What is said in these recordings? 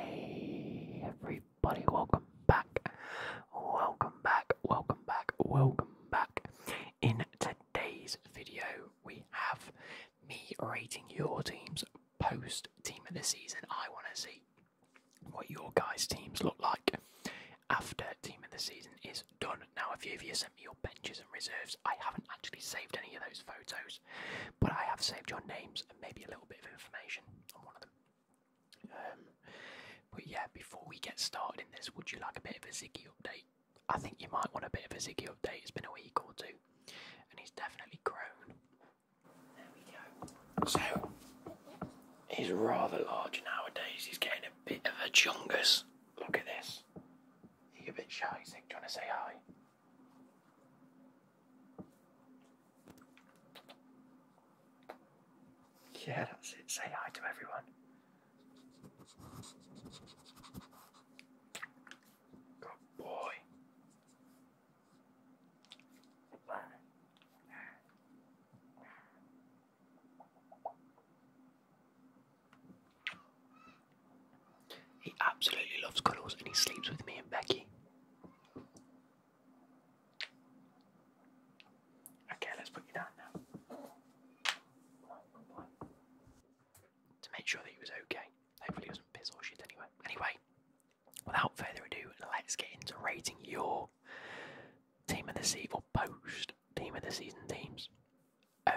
Hey everybody, welcome back. Welcome back, welcome back, welcome back. In today's video, we have me rating your teams post team of the season. I want to see what your guys' teams look like after team of the season is done. Now, a few of you say your benches and reserves. I haven't actually saved any of those photos, but I have saved your names and maybe a little bit of information on one of them. Um, but yeah, before we get started in this, would you like a bit of a Ziggy update? I think you might want a bit of a Ziggy update. It's been a week or two, and he's definitely grown. There we go. So he's rather large nowadays. He's getting a bit of a chungus. Look at this. You're a bit shy, you think? you want to say hi? Yeah, that's it. Say hi to everyone. Good boy. He absolutely loves cuddles and he sleeps with me and Becky. Okay, let's put you down now. To make sure that he was okay. Hopefully he was not piss or shit anyway. Anyway, without further ado, let's get into rating your Team of the Season post Team of the Season teams.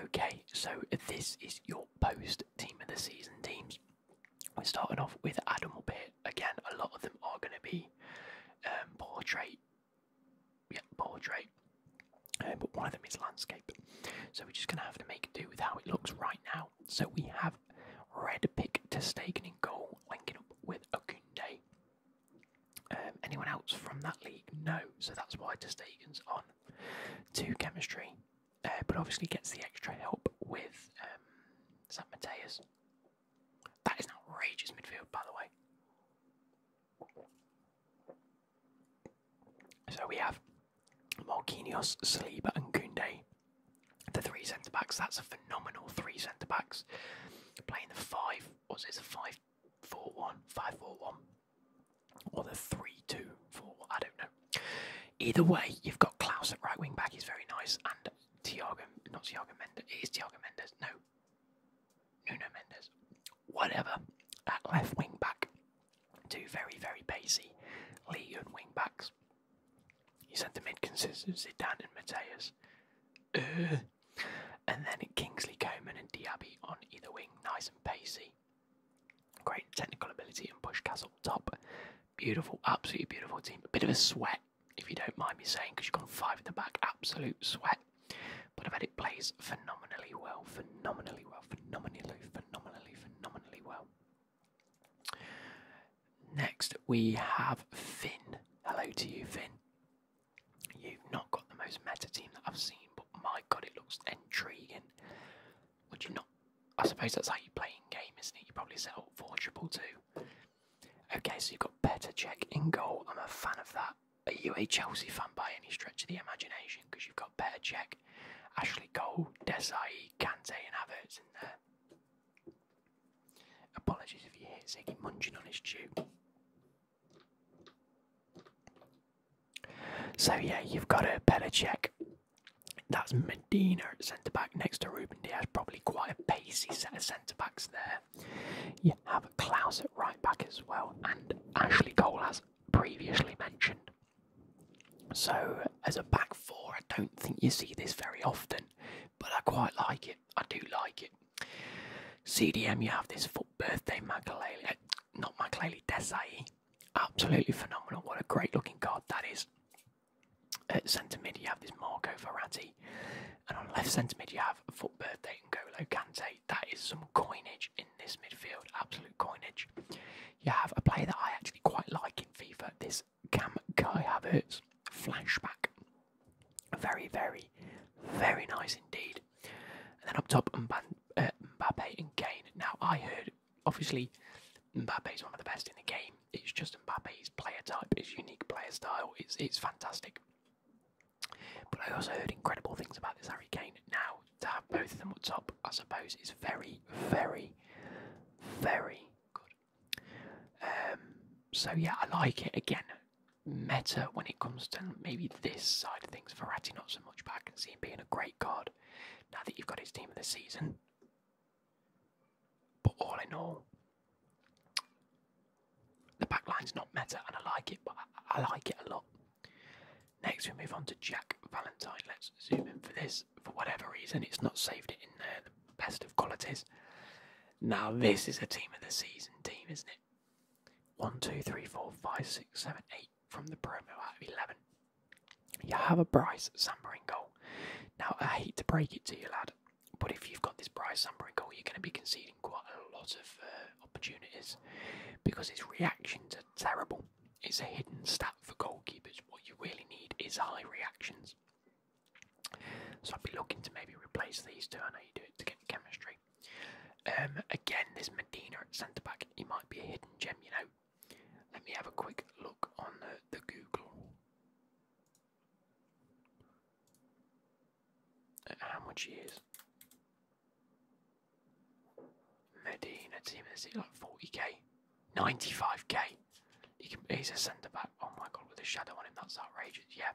Okay, so this is your post team of the season teams. We're starting off with Adam Pitt. Again, a lot of them are going to be um, portrait. Yeah, portrait. Uh, but one of them is landscape. So we're just going to have to make do with how it looks right now. So we have Red Pick to Stegen in goal, linking up with Okunde. Um, anyone else from that league? No, so that's why De on to chemistry, uh, but obviously gets the extra help with um, Mateus. That is an outrageous midfield, by the way. So we have Marquinhos, Saliba, and Gunde. The three centre backs. That's a phenomenal three centre backs. Playing the five. What's it? It's a five-four-one, five-four-one or the 3 I don't know. Either way, you've got Klaus at right wing back, he's very nice, and Tiago, not Tiago Mendes, it is Tiago Mendes, no, Nuno Mendes, whatever, at left wing back. Two very, very pacey League wing backs. You said the mid consists of Zidane and Mateus. Uh, and then Kingsley Coman and Diaby on either wing, nice and pacey. Great technical ability and push Castle top. Beautiful, absolutely beautiful team. A bit of a sweat, if you don't mind me saying, because you've got five at the back. Absolute sweat. But I bet it plays phenomenally well, phenomenally well, phenomenally, phenomenally, phenomenally well. Next, we have Finn. Hello to you, Finn. You've not got the most meta team that I've seen, but my god, it looks intriguing. Would you not? I suppose that's how you play in game, isn't it? You probably sell up for Okay, so you've got better check in goal. I'm a fan of that. Are you a Chelsea fan by any stretch of the imagination? Because you've got better check. Ashley Cole, Desai, Kante, and Havertz in there. Apologies if you hear Ziggy munching on his chew. So yeah, you've got a better check. That's Medina at centre back next to Ruben Diaz. Probably quite a pacey set of centre backs there. You have a at right back as well, and Ashley Cole has previously mentioned. So as a back four, I don't think you see this very often, but I quite like it. I do like it. CDM, you have this full birthday Makalele, not Makaleli Desai. Absolutely phenomenal. What a great looking card that is. At centre mid, you have this Marco Verratti, and on left centre mid, you have Foot Birthday and Golo Kante. That is some coinage in this midfield, absolute coinage. You have a player that I actually quite like in FIFA, this Cam Kai Havertz flashback. Very, very, very nice indeed. And then up top, Mban uh, Mbappe and Kane. Now, I heard, obviously, Mbappe is one of the best in the game. It's just Mbappe's player type, It's unique player style. It's, it's fantastic. But I also heard incredible things about this Harry Kane. Now, to have both of them at top, I suppose, is very, very, very good. Um, so, yeah, I like it. Again, meta when it comes to maybe this side of things. Verratti not so much, but I can see him being a great card now that you've got his team of the season. But all in all, the backline's not meta, and I like it, but I, like it a lot. Next, we move on to Jack Valentine. Let's zoom in for this. For whatever reason, it's not saved it in there, the best of qualities. Now, this is a team of the season team, isn't it? 1, 2, 3, 4, 5, 6, 7, 8 from the promo out of 11. You have a Bryce Samber goal. Now, I hate to break it to you, lad, but if you've got this Bryce Samber goal, you're going to be conceding quite a lot of uh, opportunities because his reactions are terrible. It's a hidden stat for goalkeepers. What you really need is high reactions. So I'd be looking to maybe replace these two. I know you do it to get chemistry. Um, again, this Medina at centre back, he might be a hidden gem, you know. Let me have a quick look on the, the Google. Uh, how much he is. Medina team, is he like 40k? 95k. He can, he's a centre back. Oh my god, with a shadow on him, that's outrageous. Yeah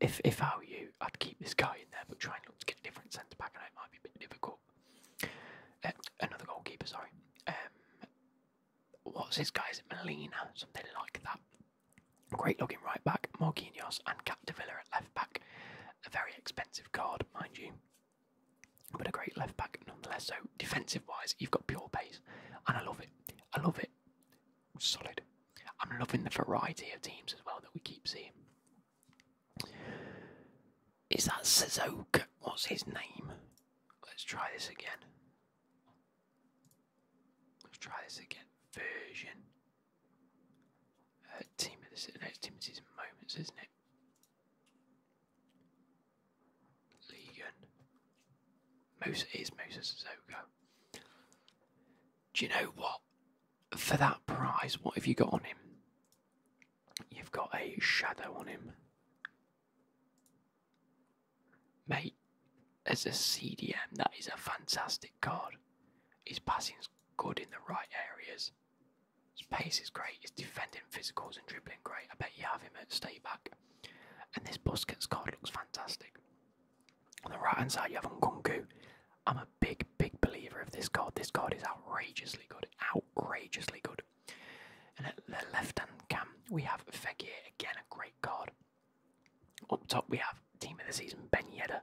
if if I were you, I'd keep this guy in there, but try and look to get a different centre back. I it might be a bit difficult. Uh, another goalkeeper, sorry. Um, what's this guy's Molina, something like that. Great looking right back, Morquinhos and Capdevilla at left back. A very expensive card, mind you, but a great left back nonetheless. So defensive wise, you've got pure pace, and I love it. I love it. Solid, I'm loving the variety of teams as well that we keep seeing. Is that Suzuka? What's his name? Let's try this again. Let's try this again. Version. Uh, team of this no, it's Timothy's moments, isn't it? Legan. Musa is Musa Suzuka. Do you know what? for that prize, what have you got on him? You've got a shadow on him. Mate, as a CDM, that is a fantastic card. His passing's good in the right areas. His pace is great. His defending physicals and dribbling great. I bet you have him at stay And this Busquets card looks fantastic. On the right hand side, you have Nkunku. I'm a big, big believer of this God. This God is outrageously good, outrageously good. And at the left hand cam, we have Fekir, again a great God. Up top, we have Team of the Season, Ben Yedder.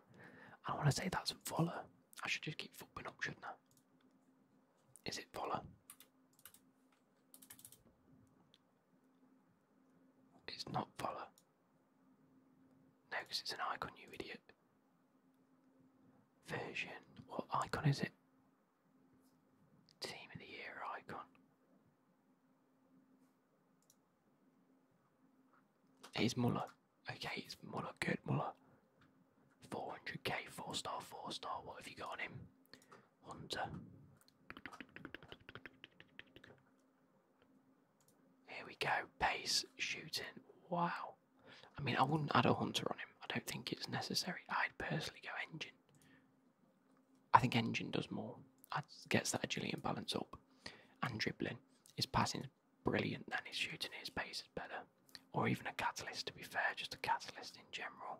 I want to say that's Voller. I should just keep flipping up, shouldn't I? Is it Voller? It's not Voller. No, because it's an icon, you idiot. Version. What icon is it? Team of the Year icon. It's Muller. Okay, it's Muller. Good Muller. 400k, 4 star, 4 star. What have you got on him? Hunter. Here we go. Pace shooting. Wow. I mean, I wouldn't add a hunter on him. I don't think it's necessary. I'd personally go engine. I think engine does more. Gets that agility and balance up. And dribbling. His passing is brilliant. And his shooting, his pace is better. Or even a catalyst, to be fair. Just a catalyst in general.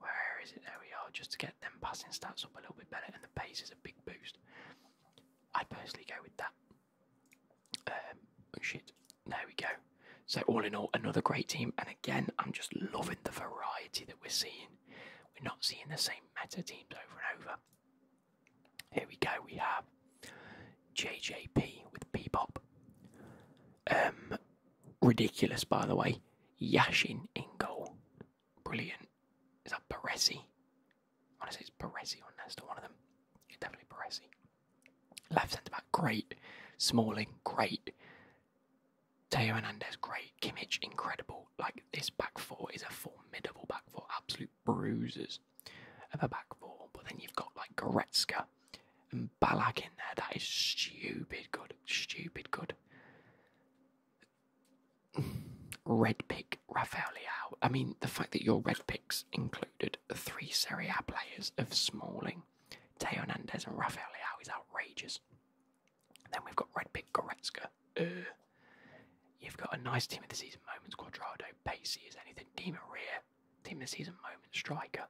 Where is it? There we are. Just to get them passing stats up a little bit better. And the pace is a big boost i personally go with that. Um, oh, shit, there we go. So all in all, another great team. And again, I'm just loving the variety that we're seeing. We're not seeing the same meta teams over and over. Here we go. We have JJP with Bebop. Um, ridiculous, by the way. Yashin in goal. Brilliant. Is that Baresi? I want to say it's Baresi or Nesta, one of them. It's definitely Baresi. Left centre back, great. Smalling, great. Teo Hernandez, great. Kimmich, incredible. Like, this back four is a formidable back four. Absolute bruisers of a back four. But then you've got, like, Goretzka and Balak in there. That is stupid good. Stupid good. Red pick Rafael I mean, the fact that your red picks included three Serie A players of Smalling, Teo Hernandez, and Rafael is outrageous. Then we've got red pick Goretzka. you've got a nice team of the season moments, Quadrado, Pacey is anything, Di Maria, team of the season moment, striker.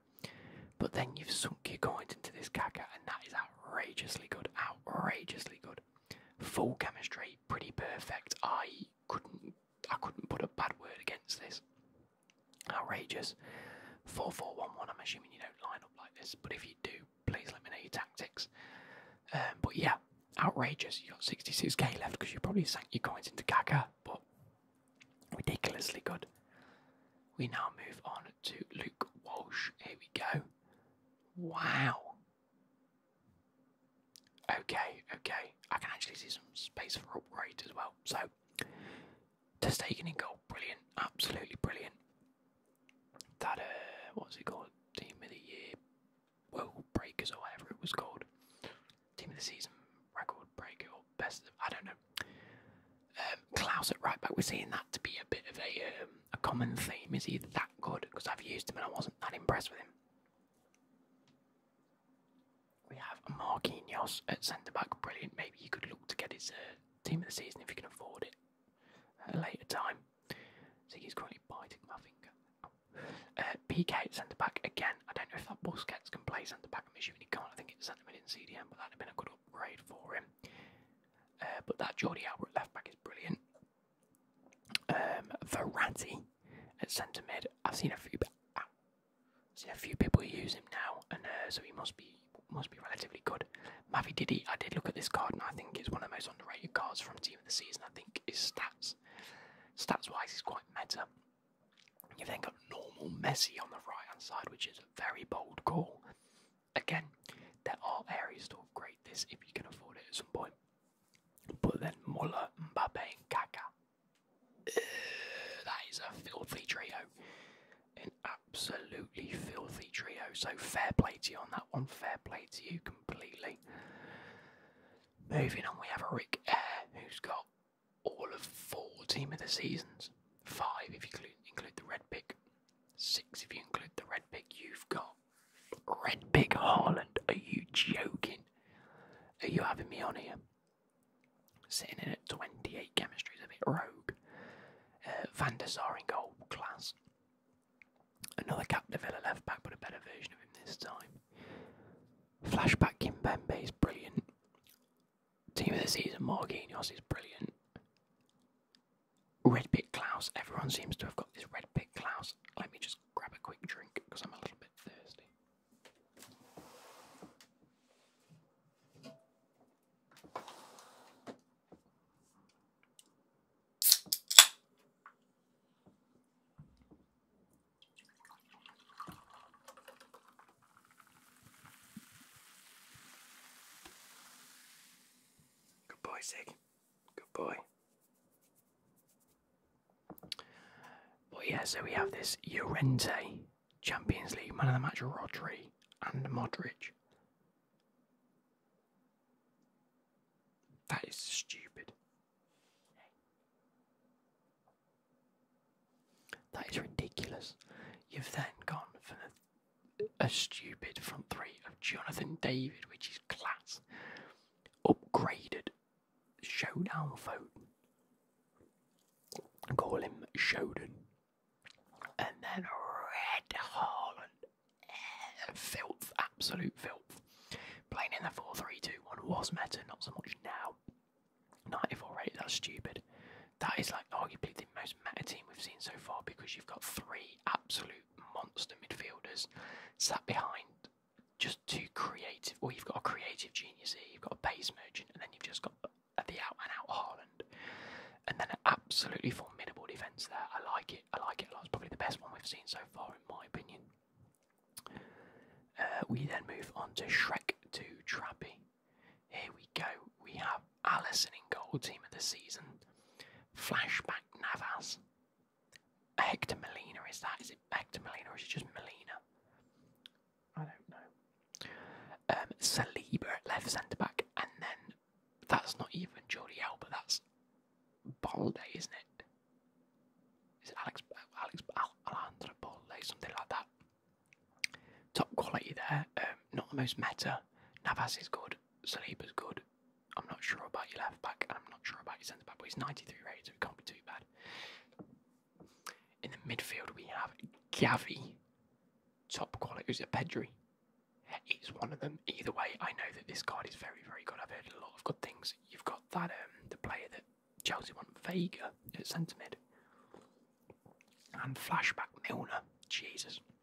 But then you've sunk your coins into this caca, and that is outrageously good. Outrageously good. Full chemistry, pretty perfect. I couldn't I couldn't put a bad word against this. Outrageous. 4 1. I'm assuming you don't line up like this, but if you do, please let me know your tactics. Um, but yeah, outrageous. You got 66k left because you probably sank your coins into Kaka, but ridiculously good. We now move on to Luke Walsh. Here we go. Wow. Okay, okay. I can actually see some space for upgrade as well. So, Testaken in goal, brilliant, absolutely brilliant. That, uh, what's it called? Team of the Year, World Breakers, or whatever it was called. Team of the Season, Record Breaker, or Best of, I don't know. Um, Klaus at right back, we're seeing that to be a bit of a, um, a common theme is he that good because I've used him and I wasn't that impressed with him. We have Marquinhos at centre back, brilliant. Maybe you could look to get his uh, team of the season if you can afford it at a later time. See, he's currently biting my uh, PK centre back again. I don't know if that Busquets can play centre back. I'm assuming he can't. I think it's centre mid in CDM, but that'd have been a good upgrade for him. Uh, but that Jordi Albert left back is brilliant. Um, Verratti at centre mid. I've seen a few, i ah, a few people use him now, and uh, so he must be must be relatively good. Mavi Didi, I did look at this card, and I think it's one of the most underrated cards from Team of the Season. I think his stats, stats wise, is quite meta. You've then got normal Messi on the right hand side, which is a very bold call. Again, there are areas to upgrade this if you can afford it at some point. But then Muller, Mbappe, and that is a filthy trio. An absolutely filthy trio. So fair play to you on that one. Fair play to you completely. Moving on, we have a who's got all of four team of the seasons. Five if you include, include the red pick. Six if you include the red pick. You've got Red Big Haaland, are you joking? Are you having me on here? Sitting at 28 chemistry's a bit rogue. Uh, Van der Sar in goal, class. Another Captain Villa left back, but a better version of him this time. Flashback Kimpembe is brilliant. Team of the season, Marquinhos is brilliant. Red Pit Klaus. Everyone seems to have got this Red Pit Klaus. Let me just grab a quick drink because I'm a little bit thirsty. Good boy, Sig. Good boy. But yeah, so we have this Llorente, Champions League man of the match Rodri and Modric. That is stupid. That is ridiculous. You've then gone for a stupid front three of Jonathan David, which is class. Upgraded Showdown Foden. Call him Shodan. And then Red Haaland. Eh, filth, absolute filth. Playing in the 4 3 2 1 was meta, not so much now. 94 rated, that's stupid. That is like arguably the most meta team we've seen so far because you've got three absolute monster midfielders sat behind just two creative. Well, you've got a creative genius here, you've got a base merchant, and then you've just got the out and out Haaland. And then an absolutely formidable defence there. I like it. I like it a lot. It's probably the best one we've seen so far, in my opinion. Uh, we then move on to Shrek to Trappy. Here we go. We have Allison in goal, team of the season. Flashback Navas, Hector Molina is that? Is it Hector Molina or is it just Molina? I don't know. Um, Saliba at left centre back, and then that's not even Jordi Alba. That's Balde, isn't it? Is it Alex Alex Alejandro Balde, something like that? Top quality there. Um, not the most meta. Navas is good. Saliba's good. I'm not sure about your left back, I'm not sure about your centre back, but he's 93 rated, so it can't be too bad. In the midfield, we have Gavi, top quality. Is it Pedri? It's one of them. Either way, I know that this card is very, very good. I've heard a lot of good things. You've got that um, the player that Chelsea want, Vega at centre mid, and flashback Milner. Jesus,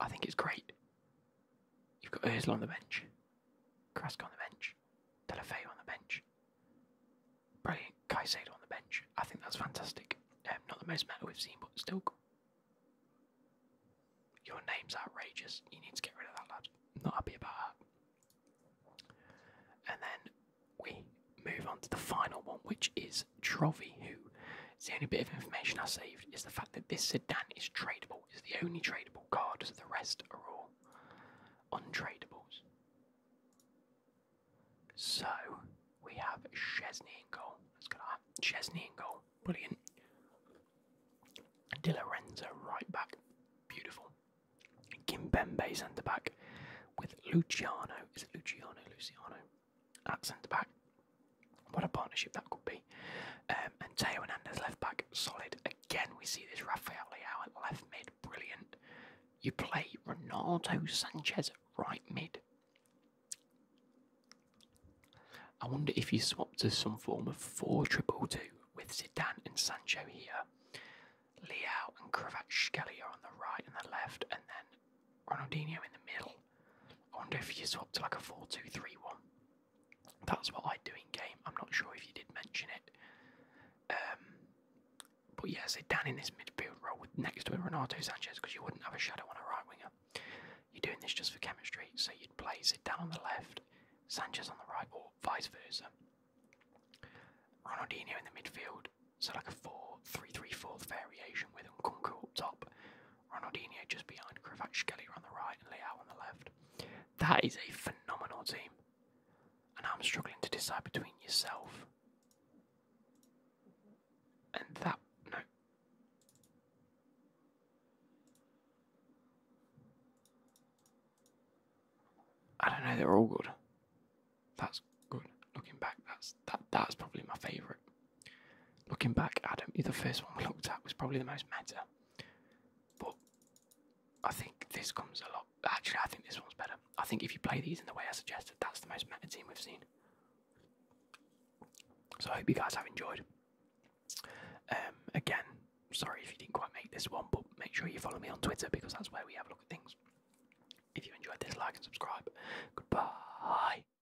I think it's great. You've got Özil on the bench, Krask on the bench, Delafay on the bench, brilliant Caicedo on the bench. I think that's fantastic. Um, not the most meta we've seen, but still, your name's outrageous. You need to get rid of that lad. not happy about that. And then we move on to the final one, which is Trovì, who the only bit of information I saved is the fact that this sedan is tradable. It's the only tradable card, so the rest are all untradables. So we have Chesney and goal. Let's go Chesney and goal. Brilliant. Di Lorenzo right back. Beautiful. Kimbembe centre back with Luciano. Is it Luciano? Luciano at back. What a partnership that could be. Um, and Teo Hernandez left back, solid. Again, we see this Rafael Leao left mid, brilliant. You play Ronaldo Sanchez right mid. I wonder if you swap to some form of 4 triple 2 with Zidane and Sancho here, Leao and Kravatskhelia on the right and the left, and then Ronaldinho in the middle. I wonder if you swapped to like a 4 2 3 1. That's what I do in game. I'm not sure if you did mention it. Um, but yeah, sit down in this midfield role next to Renato Sanchez, because you wouldn't have a shadow on a right winger. You're doing this just for chemistry, so you'd play down on the left, Sanchez on the right, or vice versa. Ronaldinho in the midfield, so like a 4 3 3 4 variation with Nkunku up top, Ronaldinho just behind Kravatskelia on the right and Leao on the left. That is a phenomenal team. And I'm struggling to decide between yourself and that. No. I don't know, they're all good. That's good. Looking back, that's that's that that's probably my favourite. Looking back, Adam, the first one we looked at was probably the most meta. But I think this comes a lot. Actually, I think this one's better. I think if you play these in the way I suggested, that's the most meta team we've seen. So I hope you guys have enjoyed. Um, again, sorry if you didn't quite make this one, but make sure you follow me on Twitter because that's where we have a look at things. If you enjoyed this, like and subscribe. Goodbye.